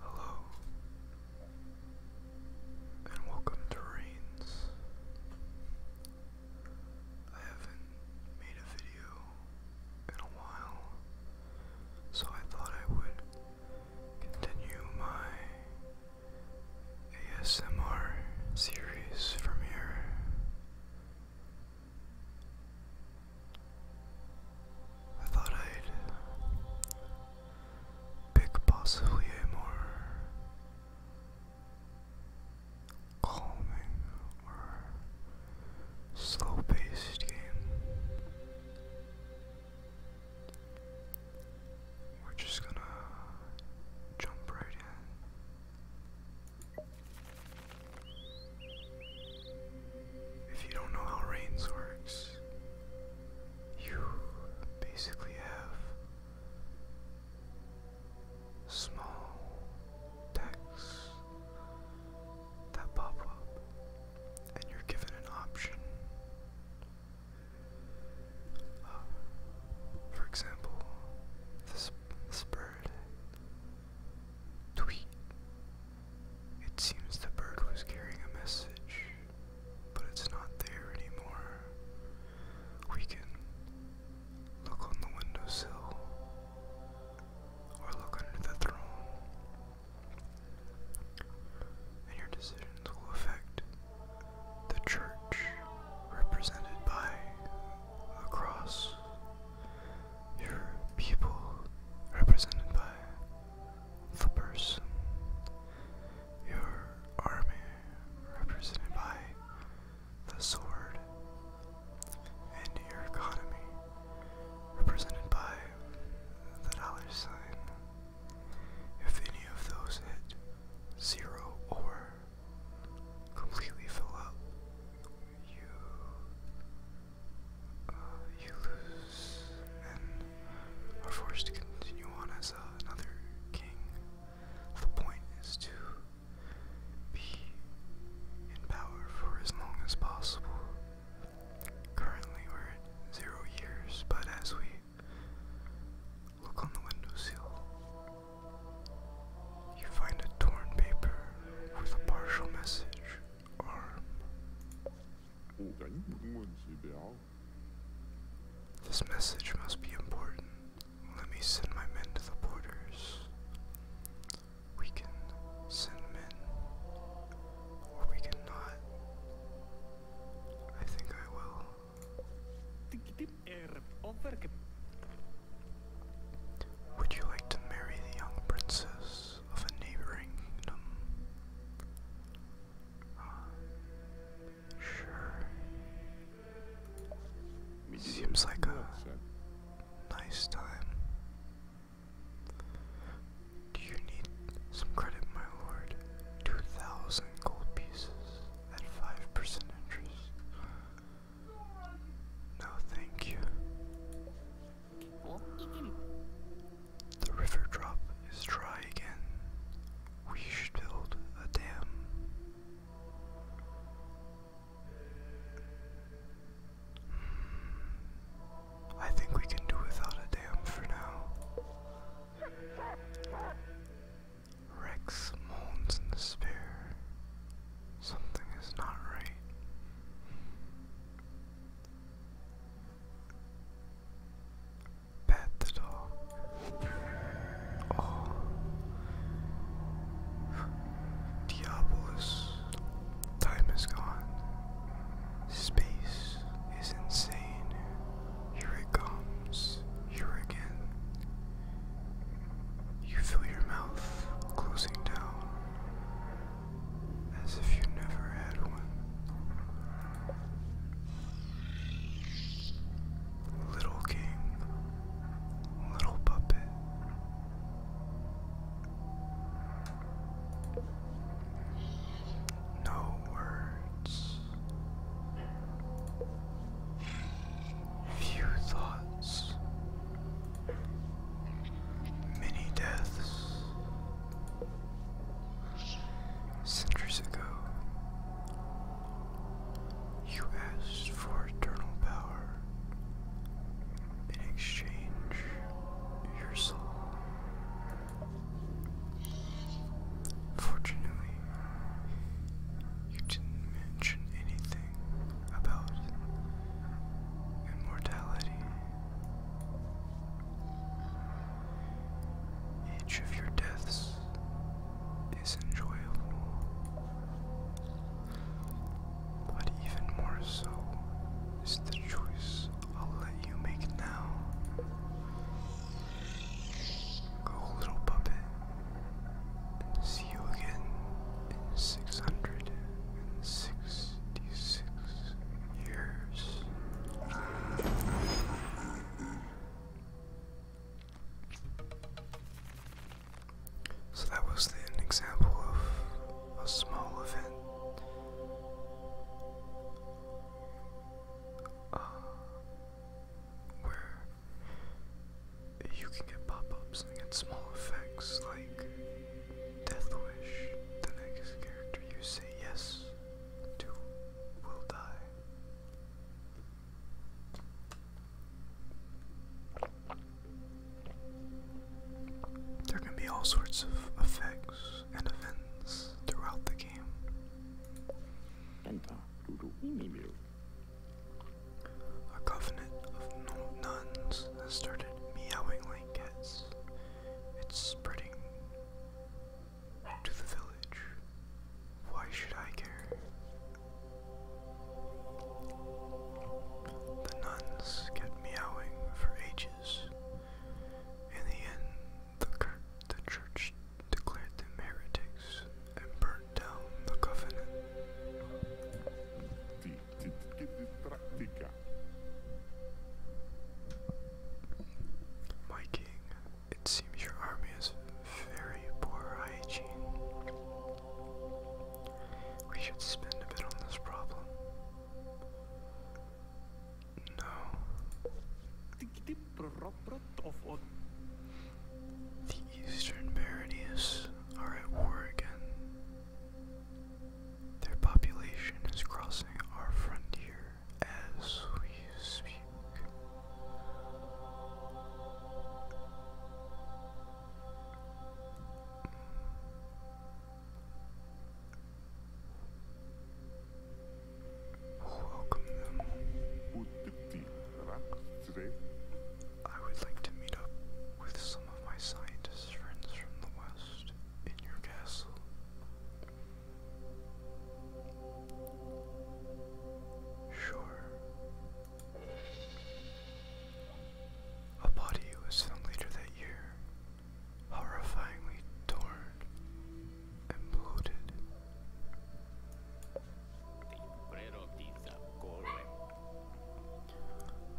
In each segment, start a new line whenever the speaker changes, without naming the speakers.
Hello, and welcome to Rains. I haven't made a video in a while, so I thought I would continue my ASMR series from here. I thought I'd pick possibly a more calming or slow paced game. We're just gonna jump right in. If you don't know how rains works, you basically have small texts that pop up, and you're given an option. Uh, for example, this, this bird Tweet. It seems the bird was carrying a message, but it's not there anymore. We can look on the windowsill or look under the throne, and your decisions will affect the church represented by the cross your people represented by the person, your army represented by the sword, and your economy represented by the dollar sign. If any of those hit zero or completely fill up, you you lose and are forced to continue on as uh, another king. The point is to be in power for as long as possible. Currently, we're at zero years, but as we look on the windowsill, you find a torn paper with a partial message. Arm. This message must be important. Let me send my men to the borders. We can send men, or we can I think I will. Would you like to marry the young princess of a neighboring kingdom? Uh, sure. Seems like a nice time. Do you need some credit, my lord? Two thousand gold pieces at five percent interest. No, thank you. The river drop is dry again. We should build a dam. Hmm. I think we can do without a dam for now. Rex moans in despair. Something is not right. Pat dog. Oh. Diabolus. Time is gone. Space is insane. Here it comes. Here again. You feel your mouth closing down as if you never had one. Little king, little puppet. No words, few thoughts, Many deaths centuries ago. You asked for eternal power. In exchange, your soul. Fortunately, you didn't mention anything about immortality. Each of your deaths is enjoyable, but even more so is the choice I'll let you make now. Go, little puppet, see you again in 606 so that was an example of a small event. Uh, where you can get pop ups and small effects like Death Wish. The next character you say yes to will die. There can be all sorts of effects and events throughout the game. A covenant of nuns started meowing I It's spreading to the village. Why should I care? The nuns kept meowing for ages. In the end, the, the church declared them heretics and burned down the covenant. My king, it seems your army is very poor hygiene. We should spend a bit on this problem. No. The eastern baronies are at war again. Their population is crossing our frontier as we speak. Welcome them. I would like to meet up with some of my scientist friends from the West in your castle. Sure. A body was found later that year, horrifyingly torn and bloated.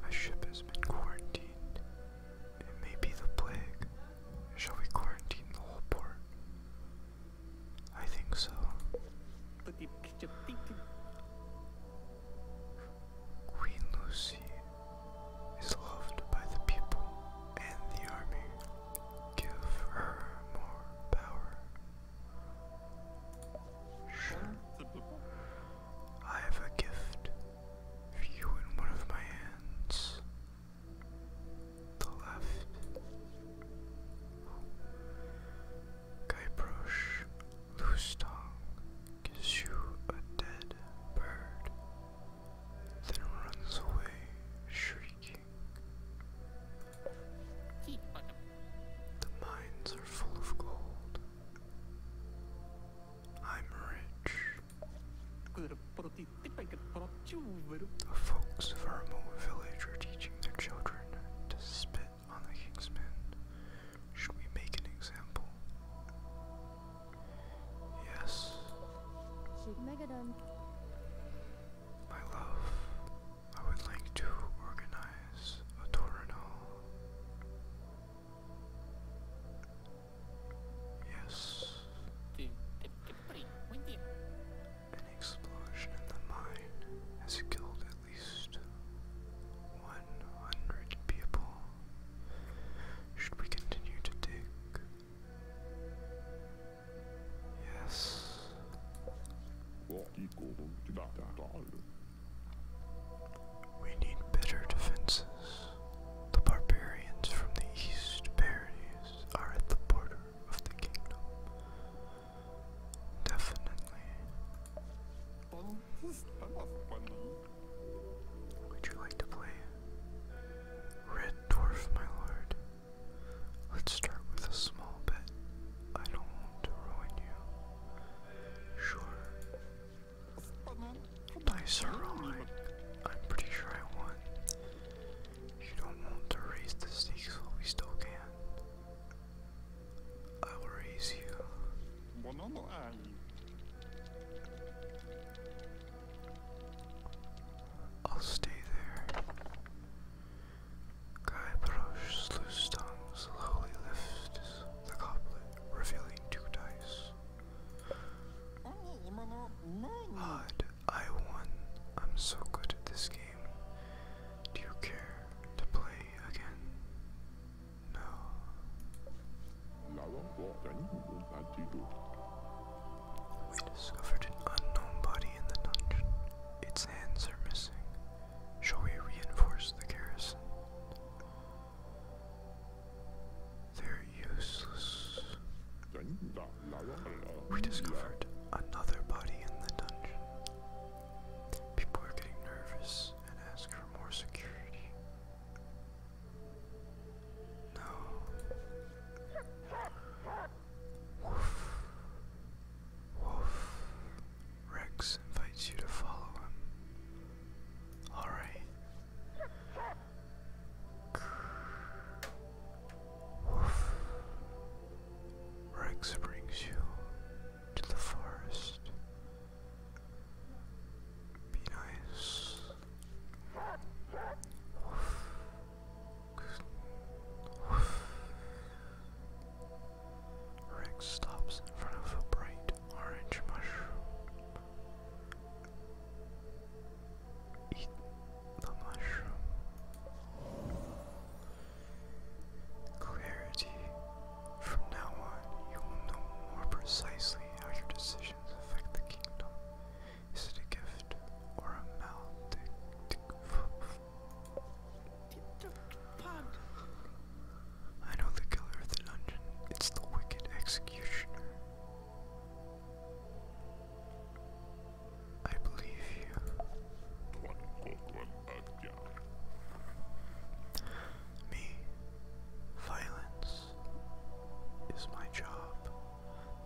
A ship has been quarantined it may be the plague. Shall we quarantine the whole port? I think so. Queen Lucy is loved by the people and the army. Give her more power. I have a gift you in one of my hands, the left. Guybrush loose tongue gives you a dead bird, then runs away shrieking. The mines are full of gold. The Folks of our remote village are teaching their children to spit on the king's men. Should we make an example? Yes. My love, I would like to organize a tournament. Yes. An explosion in the mine has killed at least 100 people. Should we continue to dig? Yes. We need better defenses. The barbarians from the east barriers are at the border of the kingdom. Definitely. Would you like to play Red Dwarf, my lord? Let's start with a small bet. I don't want to ruin you. Sure. Dice are rolling. I'm pretty sure I won. You don't want to raise the stakes while we still can. I will raise you. I'll stay there. Guy Baroche's slowly lifts the goblet, revealing two dice. Odd, I won. I'm so good at this game. Do you care to play again? No. We discovered an unknown body in the dungeon. Its hands are missing. Shall we reinforce the garrison? They're useless. We discovered another body in the dungeon. People are getting nervous and ask for more security. No. Woof. Woof. Rex invites you to follow him. Alright. Rex brings you to the forest. Be nice. Rex stops in front of a bright orange mushroom eat the mushroom. Clarity. From now on, you will know more precisely how your decisions affect the kingdom. Is it a gift or a malediction? I know the killer of the dungeon. It's the wicked executioner. I believe you. Me, violence is my job,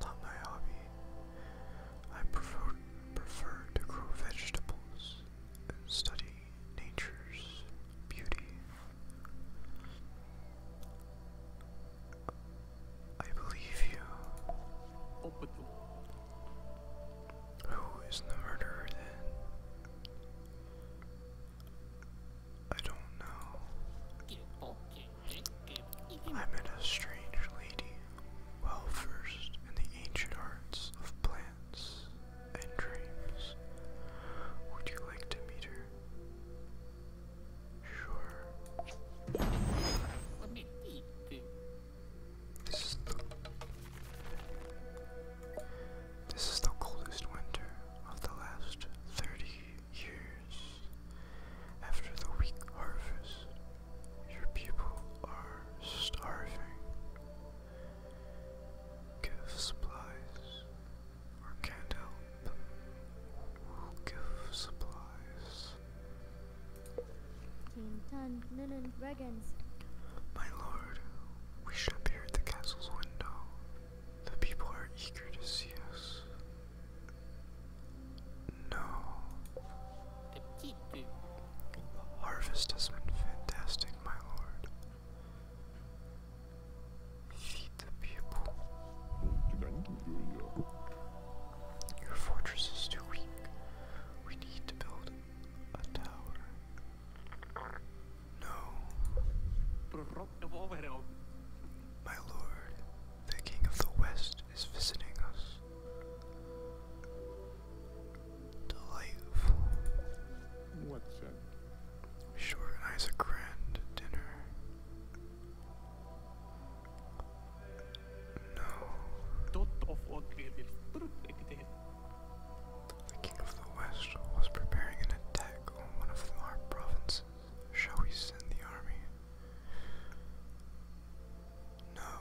not my hobby. I prefer prefer to grow vegetables and study nature's beauty. I believe you. Who is the murderer then? I don't know. I met a strange lady, well versed in the ancient arts of plants and dreams. Would you like to meet her? Sure. This is the This is the coldest winter of the last thirty years. After the weak harvest, your people are starving. Give supplies can't help give supplies. My lord, we should appear at the castle's window. The people are eager to see us. No. Harvest has been fantastic, my lord. Feed the people. Your fortress is too weak. We need to build a tower. No. My lord, the king of the west is visiting us. Delightful. What's that? Sure, a grand dinner. No. The king of the west was preparing an attack on one of our provinces. Shall we send the army? No.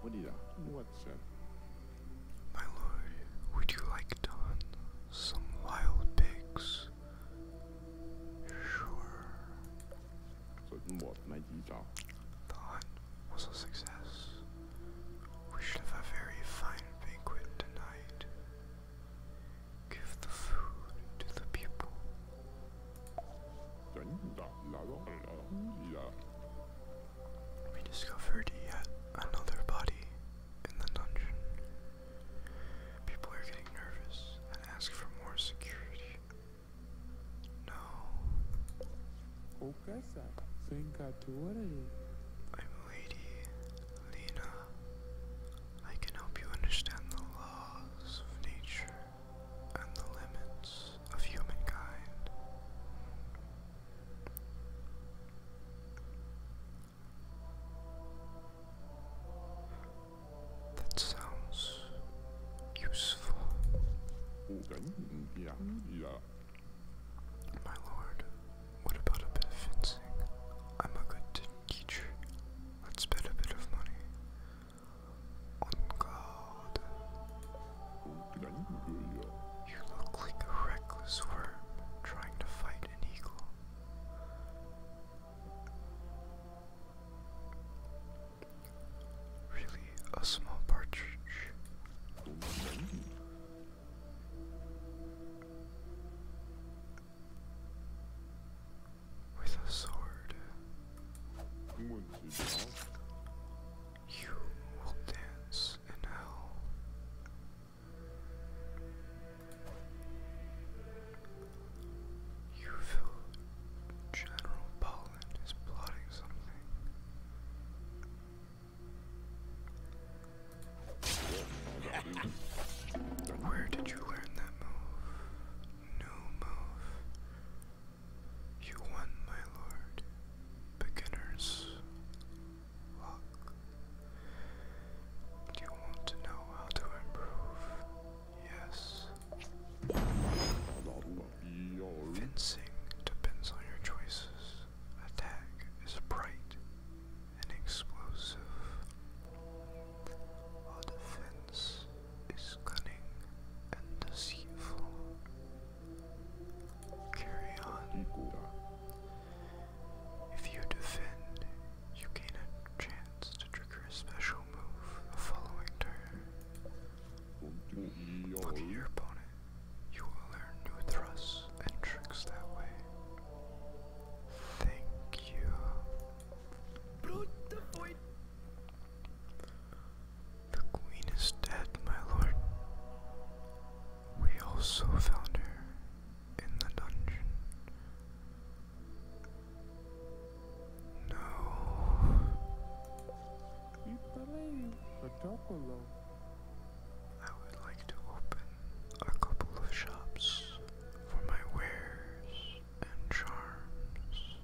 What do you What, sir? My lord, would you like some wild pigs? The hunt was a success. We should have a very fine banquet tonight. Give the food to the people. We discovered yet another body in the dungeon. People are getting nervous and ask for more security. No. I'm Lady Lena. I can help you understand the laws of nature and the limits of humankind. That sounds useful. Mm, My lord, what about a bit of fencing? I'm a good teacher. Let's bet a bit of money. On God. You look like a reckless worm trying to fight an eagle. Really, a small partridge. With a sword, you will dance in hell. You feel General Poland is plotting something. Where did you learn that move? New move. You won, my lord. Beginner's luck. Do you want to know how to improve? Yes. Fencing depends on your choices. Attack is bright and explosive. defense is cunning and deceitful. Carry on. If you defend, you gain a chance to trigger a special move following turn. Look at your opponent. You will learn new thrusts and tricks that way. Thank you. The queen is dead, my lord. We also found her in the dungeon. No. I would like to open a couple of shops for my wares and charms.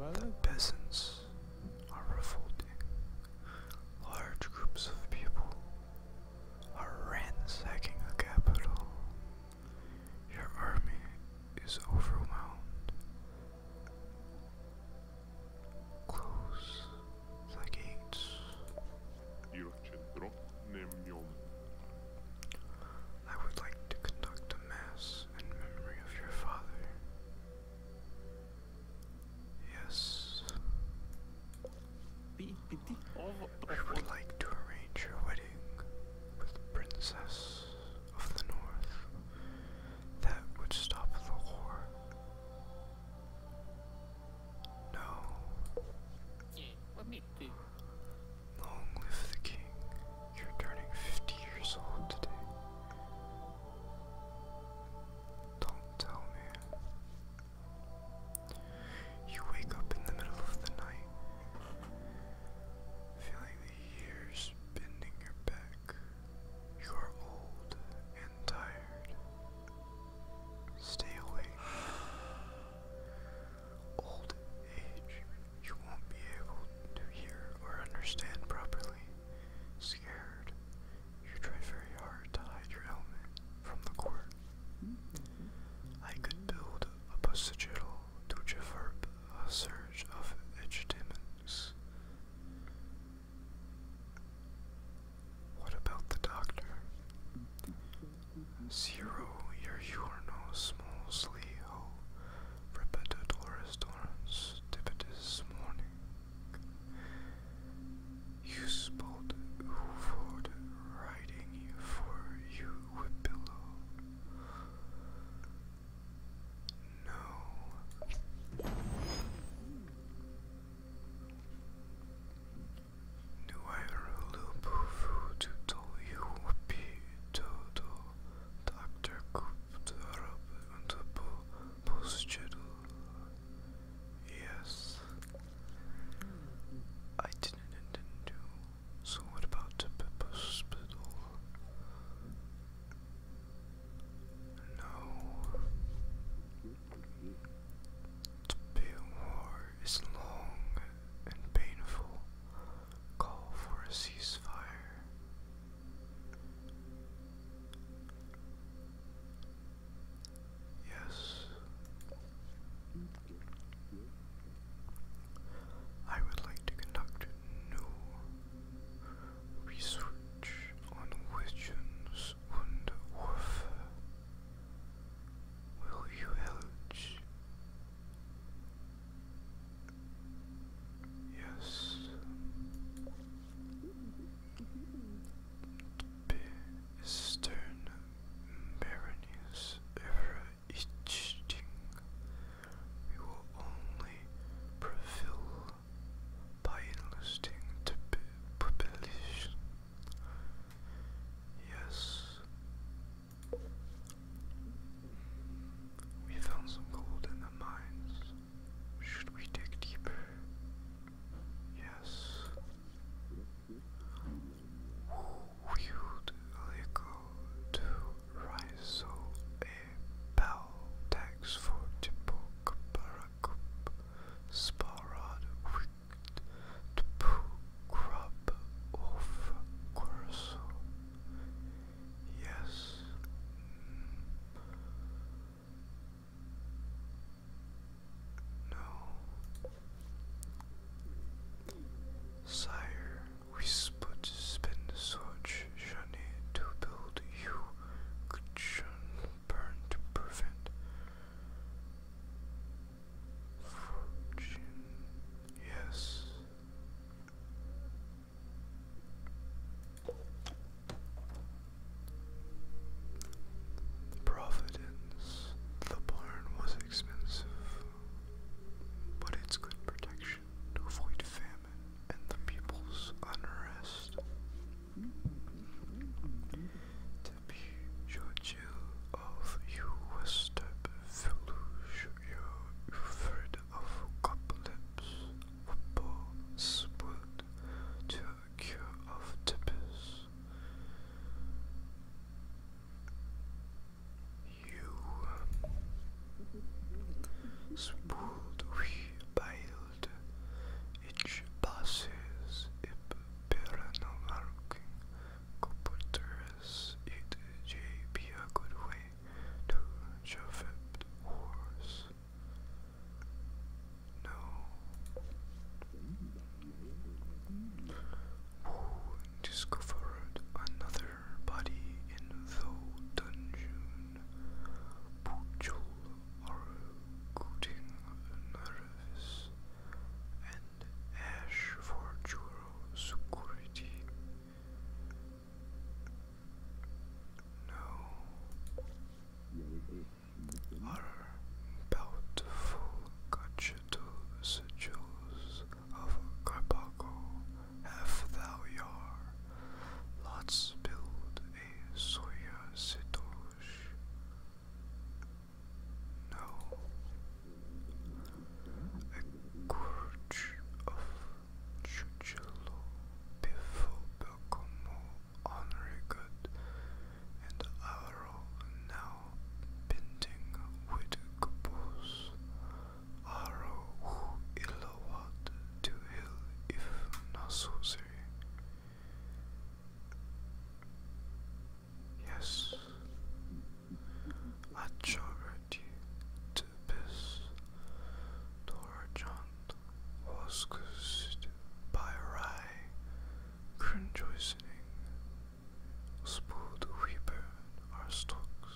No. The peasants are revolting. Large groups of people are ransacking the capital. Your army is overwhelmed. Close the gates. I would like to conduct a mass in memory of your father. Yes. We would like to arrange your wedding with the Princess of the North. That would stop the war. No. Long live the king. You're turning 50 years old today. Don't tell me. You wake up in the middle of the night, feeling the years bending your back. You are old and tired. Stay awake. Old age, you won't be able to hear or understand properly. Scared, you tried very hard to hide your ailment from the court. I could build a sigil to Javarp, a surge of edge What about the doctor? Zero your no small sleeho, repetitorus dorans, tipitis morning. You spot who for for you with No. Do I loop who to tell you be toto? Doctor Coop the Arab the Bull Yes. I didn't intend to. So what about the pepper No. The pale war is long and painful. Call for a ceasefire. Yes. I would like to conduct new research on Witches and Warfare. Will you help? Yes bestowed baronies over each We will only prevail by enlisting the population. Yes. We found some gold in the mines. Should we dig deeper? Yes. Who wield legal to rise so a bell tax for Timbuk Barakup Sparad wicked to poo crab of Corso? Yes. No. Sire, we split so much shunny to build you good shun burn to prevent fortune. Yes. Providence. The barn was expensive, but it's good protection to avoid famine and the people's unrest. Debbie, Georgiou of Uwestep Village, Ufford of Coplips, Upper Spud, to cure of Tippus. You spooled we bailed, each passes ip peranomarking copertures it j be a good way to chauffeur horse. No. Ooh, discovered another body in the dungeon. Puchul are getting nervous and ash for Juro security. No are bountiful conchitous of Carpago have thou yar, lots build a soya sitosh. No, a gorge of chuchelo before Belcomo on and are now pending with couples are who ill to heal if necessary. Yes, I charity to this. Dora John was by Rye Cringoisoning spooled we burn our stocks.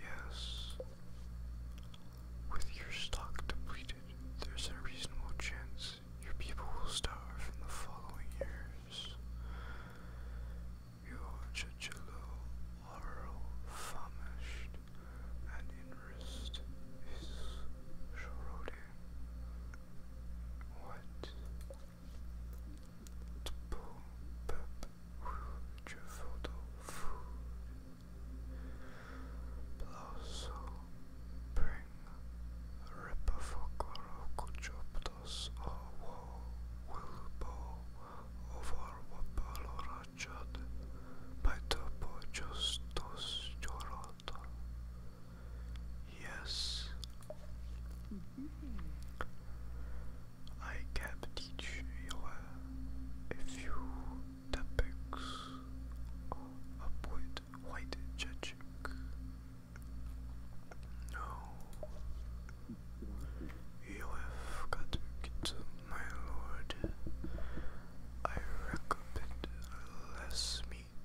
Yes. With your stock depleted, there's a reasonable chance your people will starve in the following years. Your chichilo are famished and interest is Shorode. What? Tpo pup Jufoto food. Blaso bring Ripafokoro Kuchoptos or Wo Wilbo over Wapalora Topochot by Topochostos Yoroto. Yes. I can teach you a few topics about white judging. No, you have got it, my lord. I recommend less meat,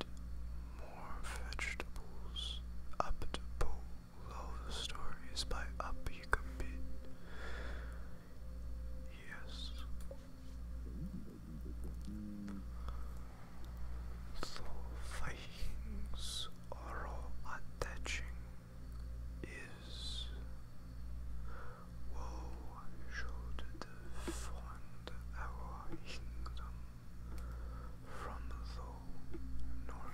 more vegetables. Up to below the stories by up Yes. The Vikings are all attaching is Woe showed the our kingdom from the north.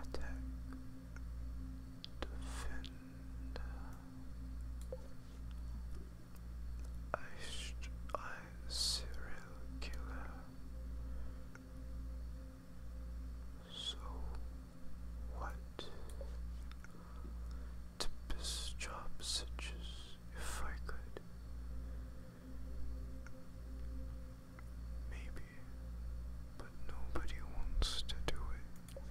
Attack, defend. I, I serial killer. So what? To job such as if I could. Maybe, but nobody wants to do it.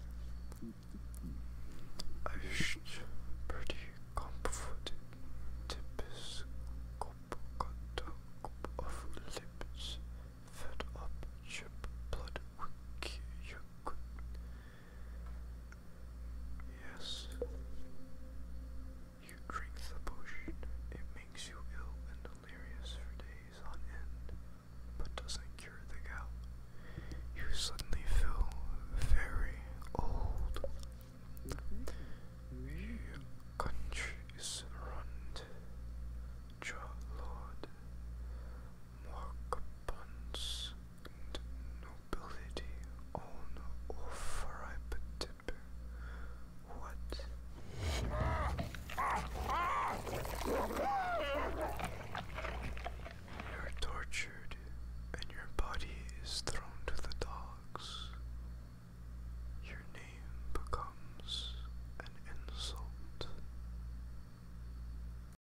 I wish should pretty comforted tips cup cup of lips fed up chip blood wiki you could Yes. You drink the potion. It makes you ill and delirious for days on end, but doesn't cure the gout. You suddenly feel very old. Your country is Your lord, Morkabans and nobility on offer I but What? You're tortured and your body is thrown to the dogs. Your name becomes an insult.